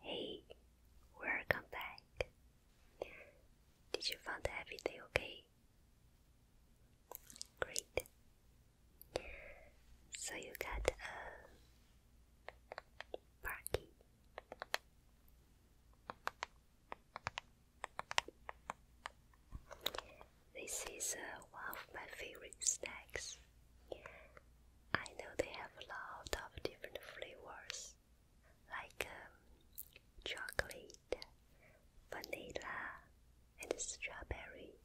Hey, welcome back. Did you find everything okay? Great. So you got a uh, parking. This is uh, one of my favorite snacks. I know they have a lot of different flavors like um, chocolate, vanilla, and strawberry.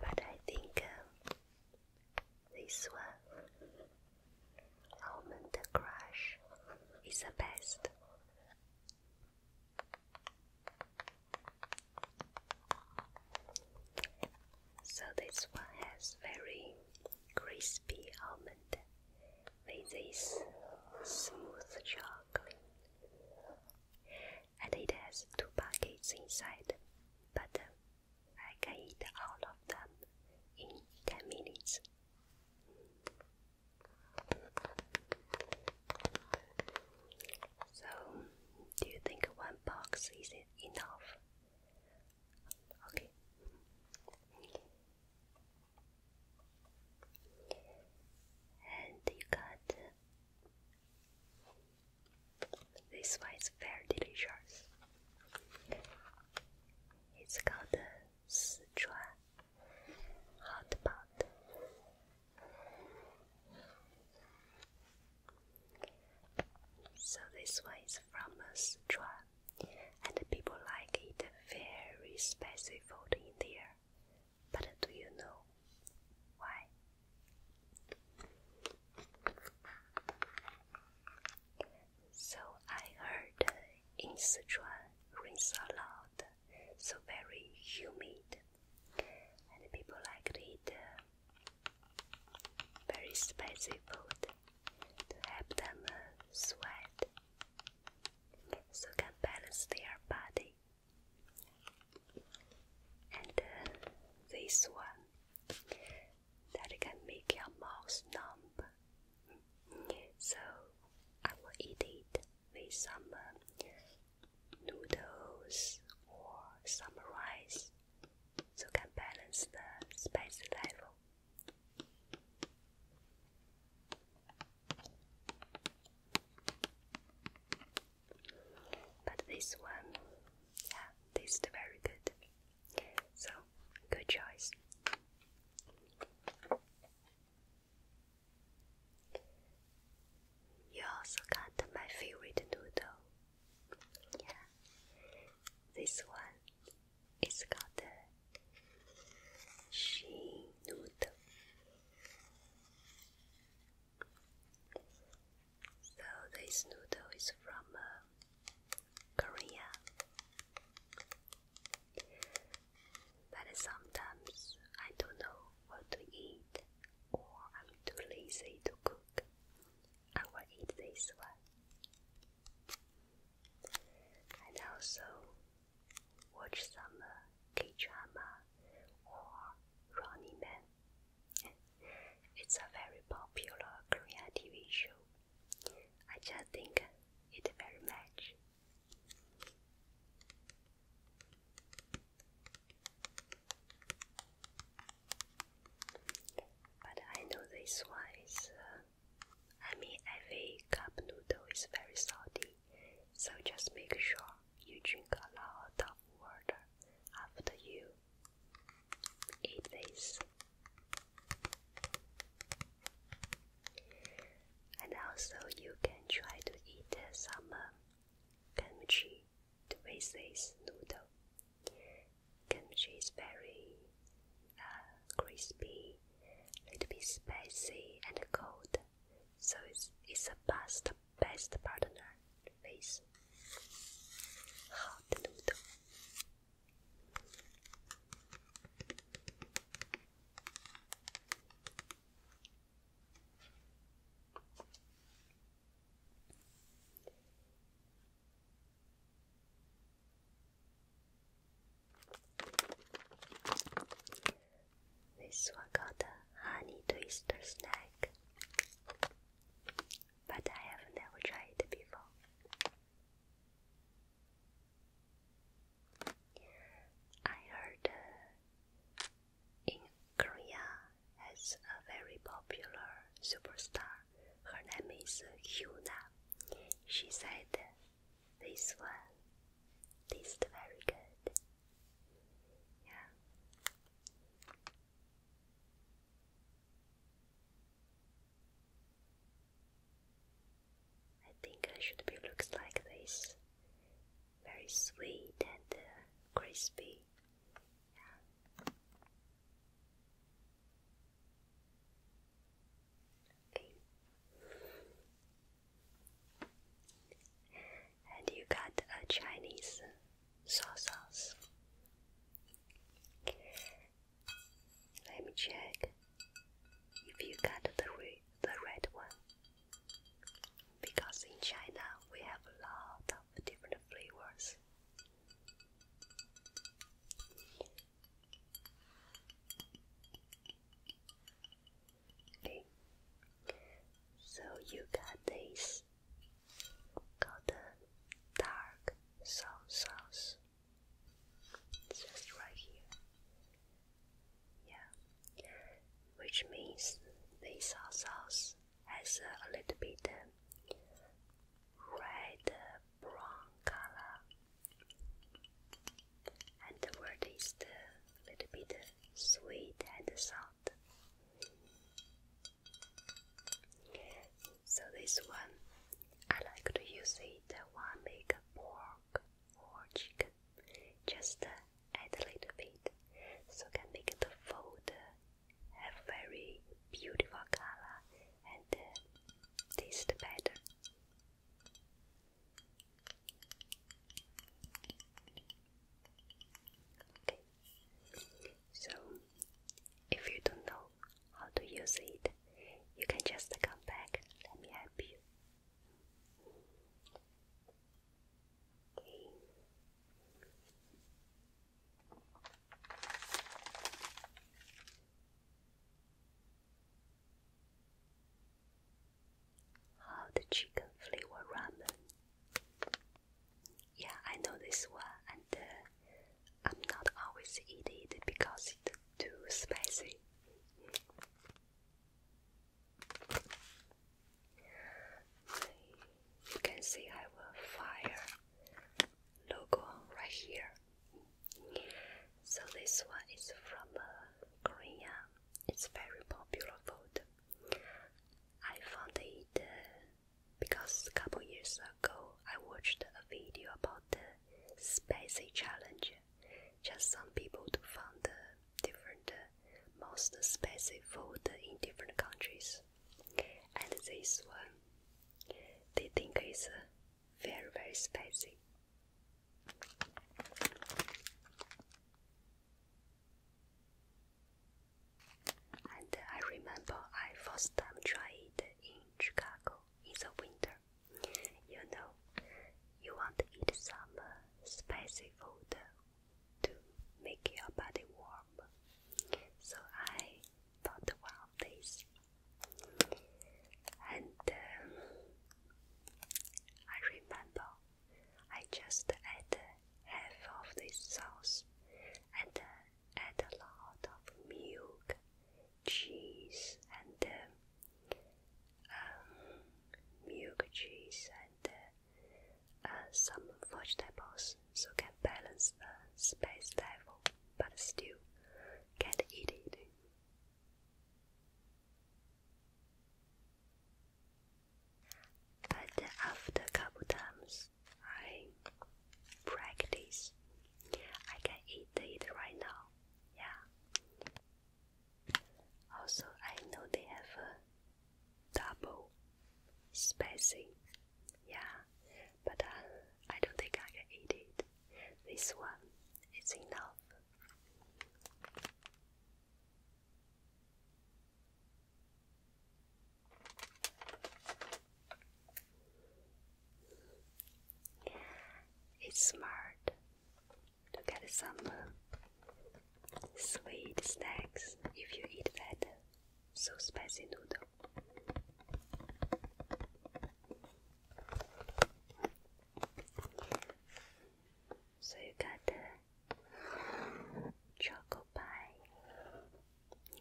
But I think um, this one, Almond Crush, is the best. So this one has very crispy almond with this smooth chocolate. And it has two packets inside, but uh, I can eat all of them in 10 minutes. So, do you think one box is enough? Okay. And you got this one is very delicious. It's called Sichuan hot pot. So this one is from Sichuan, and people like it very spicy food in there. But do you know why? So I heard in Sichuan rains a lot, so very humid and people like to eat uh, very spicy food to help them uh, sweat, so can balance their body. And uh, this one that can make your mouth numb. So I will eat it with some noodles or summer rice, so can balance the spice level. But this one, yeah, tastes very good. So, good choice. You also got my favorite noodle, yeah, this one is called the she noodle. So this noodle is from uh, Korea, but sometimes I don't know what to eat, or I'm too lazy to cook. I will eat this one. And also watch some uh, K drama or Running Man. It's a very popular Korean TV show. I just think it very much. But I know this one uh, I mean, every cup noodle is very salty, so just make sure you drink a lot of water after you eat this. And also, you can try to eat some uh, kimchi with this noodle. Kimchi is very uh, crispy, a little bit spicy and cold, so it's it's a best best partner with hot noodle. This one got a honey twister snack, but I have never tried it before. I heard uh, in Korea has a very popular superstar. Her name is Hyuna. She said, "This one tastes very good." Yeah. I think I should be looks like this very sweet and uh, crispy. And you got a Chinese soy sauce. Let me check if you got the the red one. Because in China we have a lot of different flavors. Okay, so you got this golden dark sauce. just right here. Yeah which means they saw us a little bit um, red uh, brown color, and the word is a little bit uh, sweet and salt. So this one, I like to use it when I make pork or chicken. Just uh, add a little bit, so can make the fold have very beautiful color and uh, taste better. Okay. So, if you don't know how to use it, you can just come back. Let me help you. How the chicken flavor ramen? Yeah, I know this one, and uh, I'm not always eating it because it's too spicy. You can see I have a fire logo right here. So this one is from uh, Korea. It's very popular food. I found it uh, because a couple years ago I watched a video about the spicy challenge. Just some people to find the different most spicy food in different countries. And this one, they think is uh, very very spicy. And uh, I remember I first time tried it in Chicago in the winter. You know, you want to eat some uh, spicy food to make your body warm. So I thought about this, and um, I remember I just add half of this sauce and uh, add a lot of milk, cheese, and um, um milk, cheese, and uh, uh, some vegetables so can balance the space level, but still can't eat it. But after a couple times, I practice. I can eat it right now. Yeah. Also, I know they have a double spacing, yeah, but uh, I don't think I can eat it. This one is enough. It's smart to get some sweet snacks if you eat that so spicy noodle. So you got chocolate pie.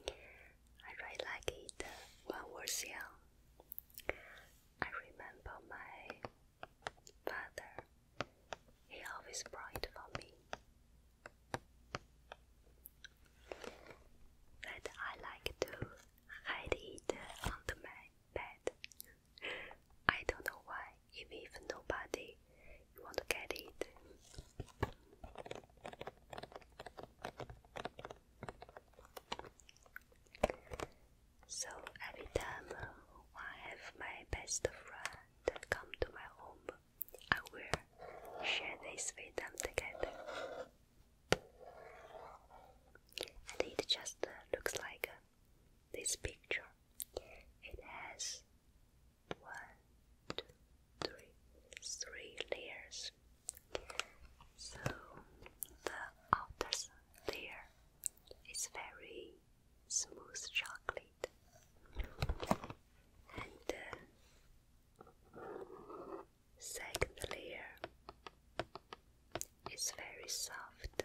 I really like it when I was young. I remember my father he always prayed for me. That I like to hide it on the bed. I don't know why, even if nobody you to get it. So every time uh, I have my best friend come to my home, I will share this with them together. And it just uh, looks like uh, this picture. It has one, two, three, three layers. So the outer layer is very smooth chocolate. And uh, second layer is very soft.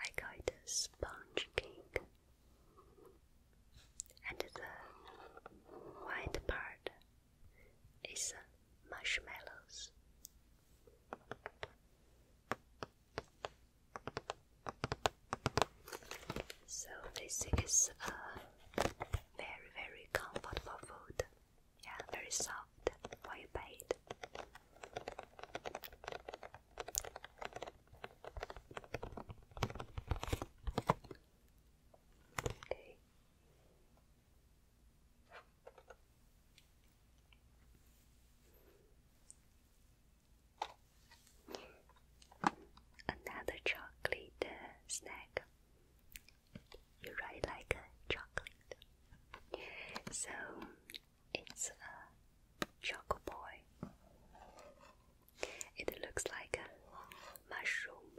I call it a sponge cake. And the white part is uh, marshmallows. So this is a uh, very very comfortable food. Yeah, very soft while you Okay. Another chocolate uh, snack. You really like chocolate. So it's a choco boy. It looks like a mushroom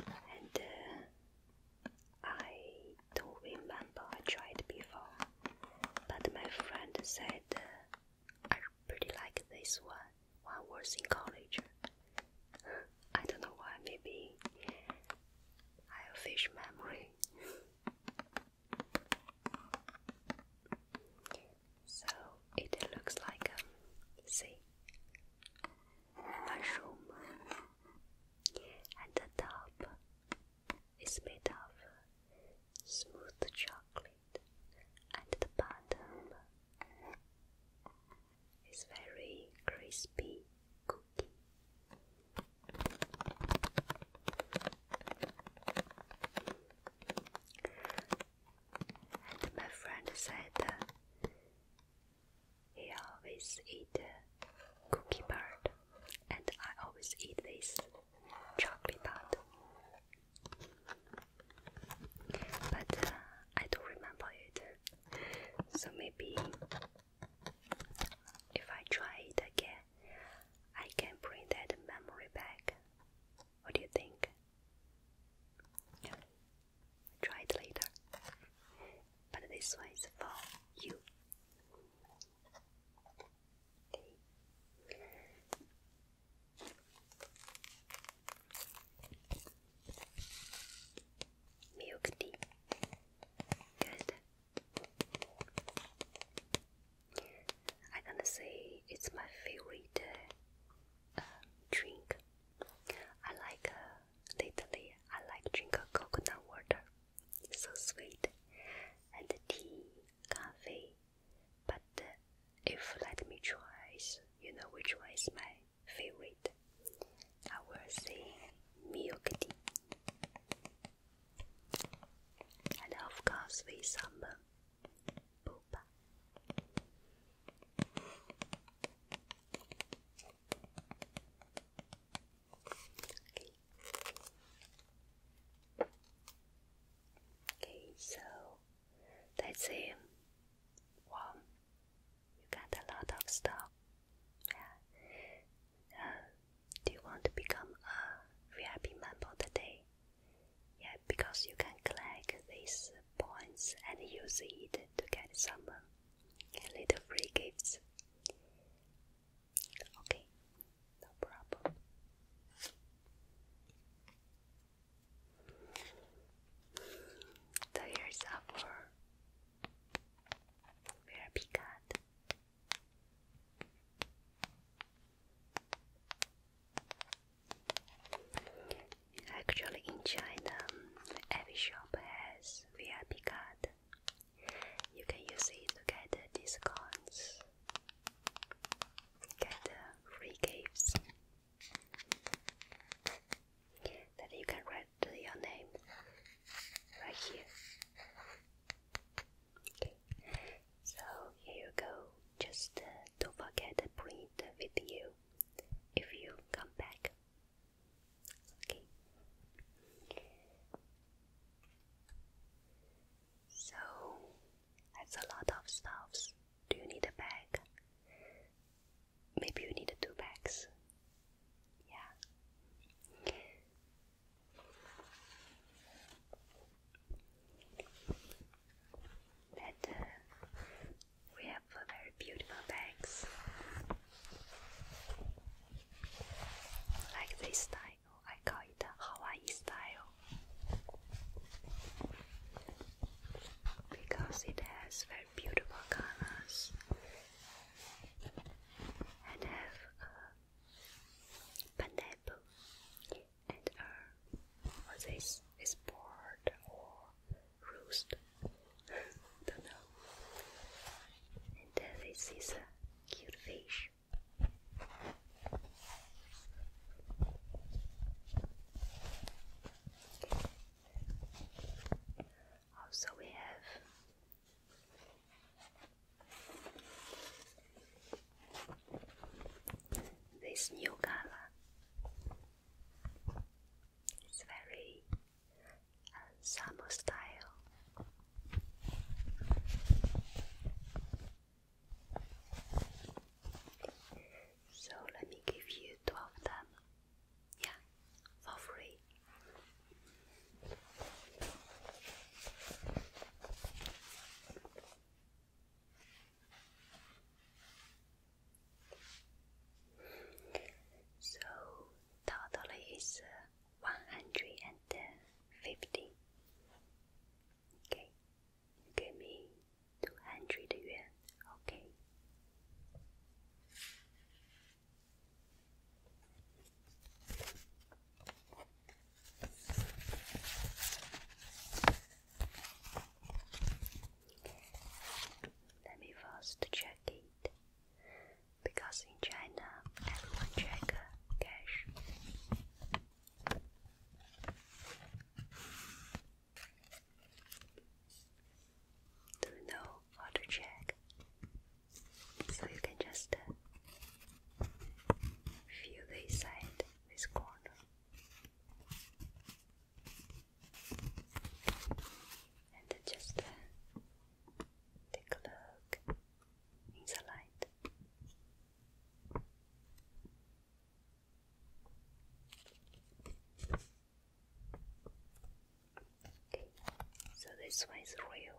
and uh, I don't remember I tried before, but my friend said uh, I pretty like this one when I was in college. I don't know why, maybe I have fish memory. so it looks like um, see a room. And the top is made of smooth chocolate, and the bottom is very crispy cookie. And my friend said he always eat a cookie part, and I always eat this chocolate part. But uh, I don't remember it, so maybe if I try it again, I can bring that memory back. What do you think? Try it later. But this one is for you. Milk tea. Good. I gonna say it's my favorite uh, drink. I like uh, Lately, I like drink coconut water. It's so sweet. And tea, coffee. But uh, if let me choose, you know which one is my favorite. I will say milk tea. And of course, with some boba. Okay. so that's it. Wow, you got a lot of stuff. Yeah. Uh, do you want to become a VIP member today? Yeah, because you can collect these points and use it to get some uh, little free gifts. Okay, no problem. So here's our very big cat. Actually, in China, every shop has VIP card. You can use it to get discounts, get free gifts that you can write your name right here. So here you go. Just uh, don't forget to bring it with you if you come back. Okay. So that's a lot of stuffs. Do you need a bag? Maybe you need two bags. Yeah. Let uh, we have very beautiful bags, like this style. I call it Hawaii style because it has very beautiful colors and have a pineapple and uh, a, or this is board or roost. Don't know. And uh, this is a cute fish. Also, we have this new color. It's very uh, style. So let me give you two them. Yeah, for free. So total is uh, one hundred and fifty. Okay, give me two hundred yuan. Okay. Let me first check it because in China everyone check uh, cash. Do know how to check? So you can just uh, feel this side, this corner and just uh, take a look in the light. Okay, so this one is real,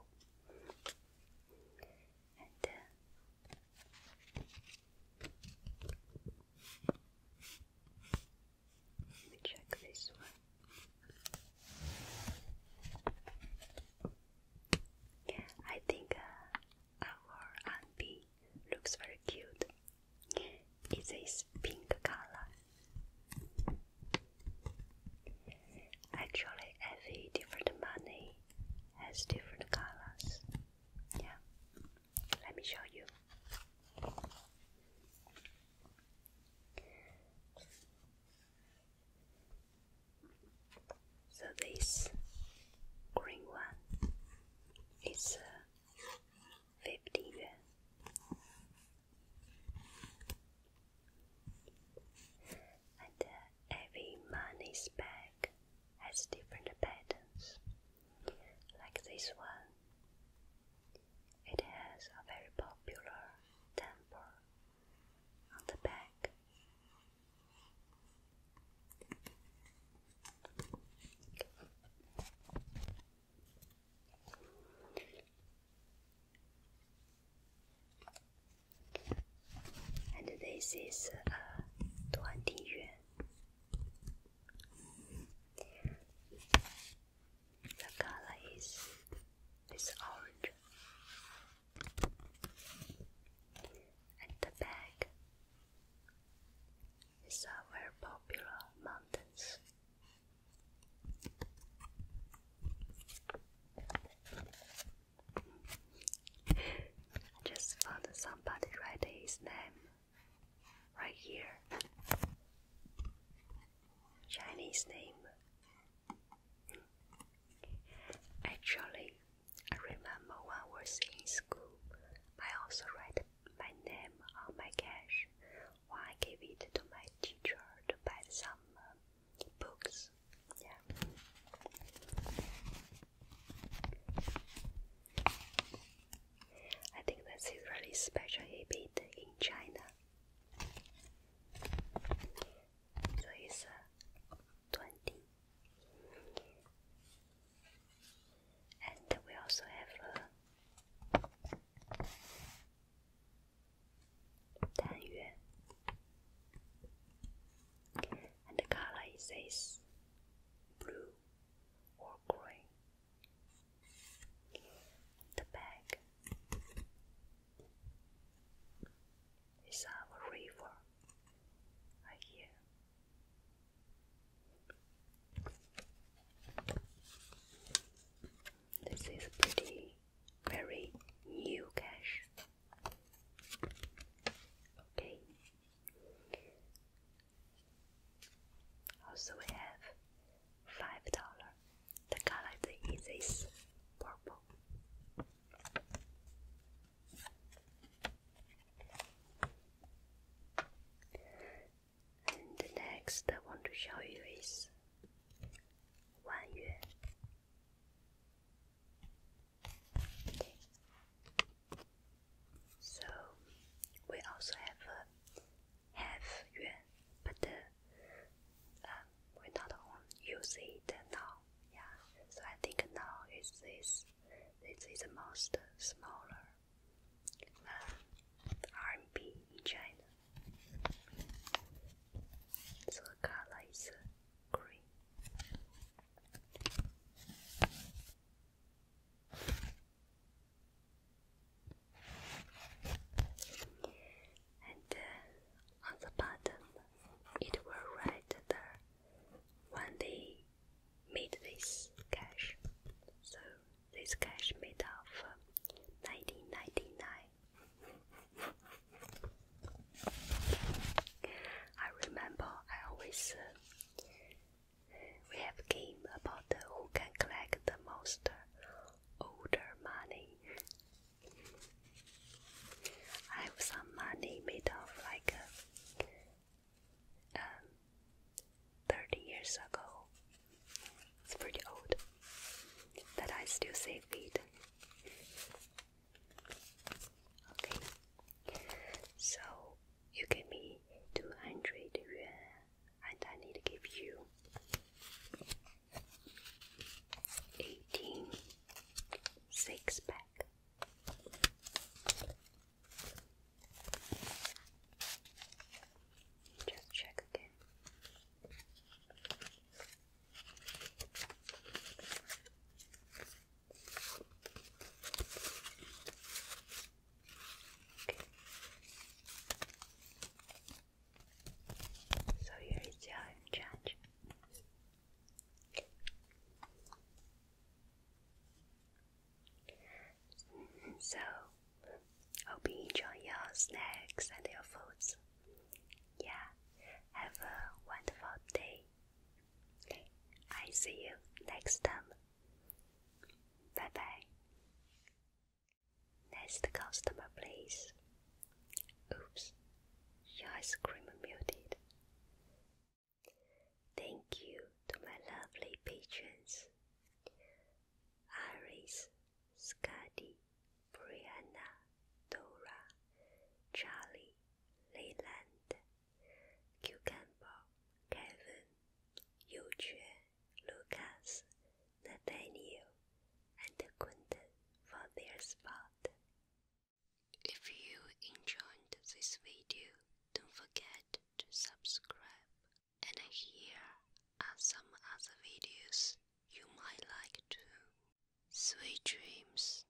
let me check this one. I think uh, our Anbi looks very cute. It's this pink color. Actually, every different money has different colors. Yeah. Let me show you. So this green one is uh, fifty yuan, and uh, every money bag has different patterns like this one. It has a very popular temple on the back. And this is a uh, 20 yuan. The color is is orange. And the bag is a very popular mountains. I just found somebody write his name right here. Chinese name. Hmm. Actually, I remember when I was in school, I also write my name on my cash when I gave it to my teacher to buy some uh, books. Yeah. I think that's a really special habit in China. So it's uh, 20. And we also have a uh, Dan And color is blue or green. The back is of river right here. This is pretty, very new cash. Okay, also, we have five dollar. The color is this purple. And the next I want to show you is one yuan. So we also have a half yuan, but uh, um, we not on use it now. Yeah. So I think now is this this is the most smaller uh, RMB in China. So the color is uh, green. And uh, on the bottom, it will write the when they made this cache. So this cash made of uh, 1999. I remember I always uh, we have a game about who can collect the most older money. I have some money made of like uh, um, 30 years ago. It's pretty old, but I still save it. Okay, so you give me 200 yuan and I need to give you 18 six pack. Just check again. So here is the iron judge. So hope you enjoy your snacks and your foods. Yeah, have a wonderful day. I see you next time. Bye bye. Next customer, please. Oops, your ice cream muted. Thank you to my lovely patrons Iris, Scotty, Brianna, Dora, Charlie, Leland, Q Kevin, Yu Quan, Lucas, Nathaniel, and Quentin for their spot. If you enjoyed this video, don't forget to subscribe. And here are some other videos you might like too. Sweet dreams.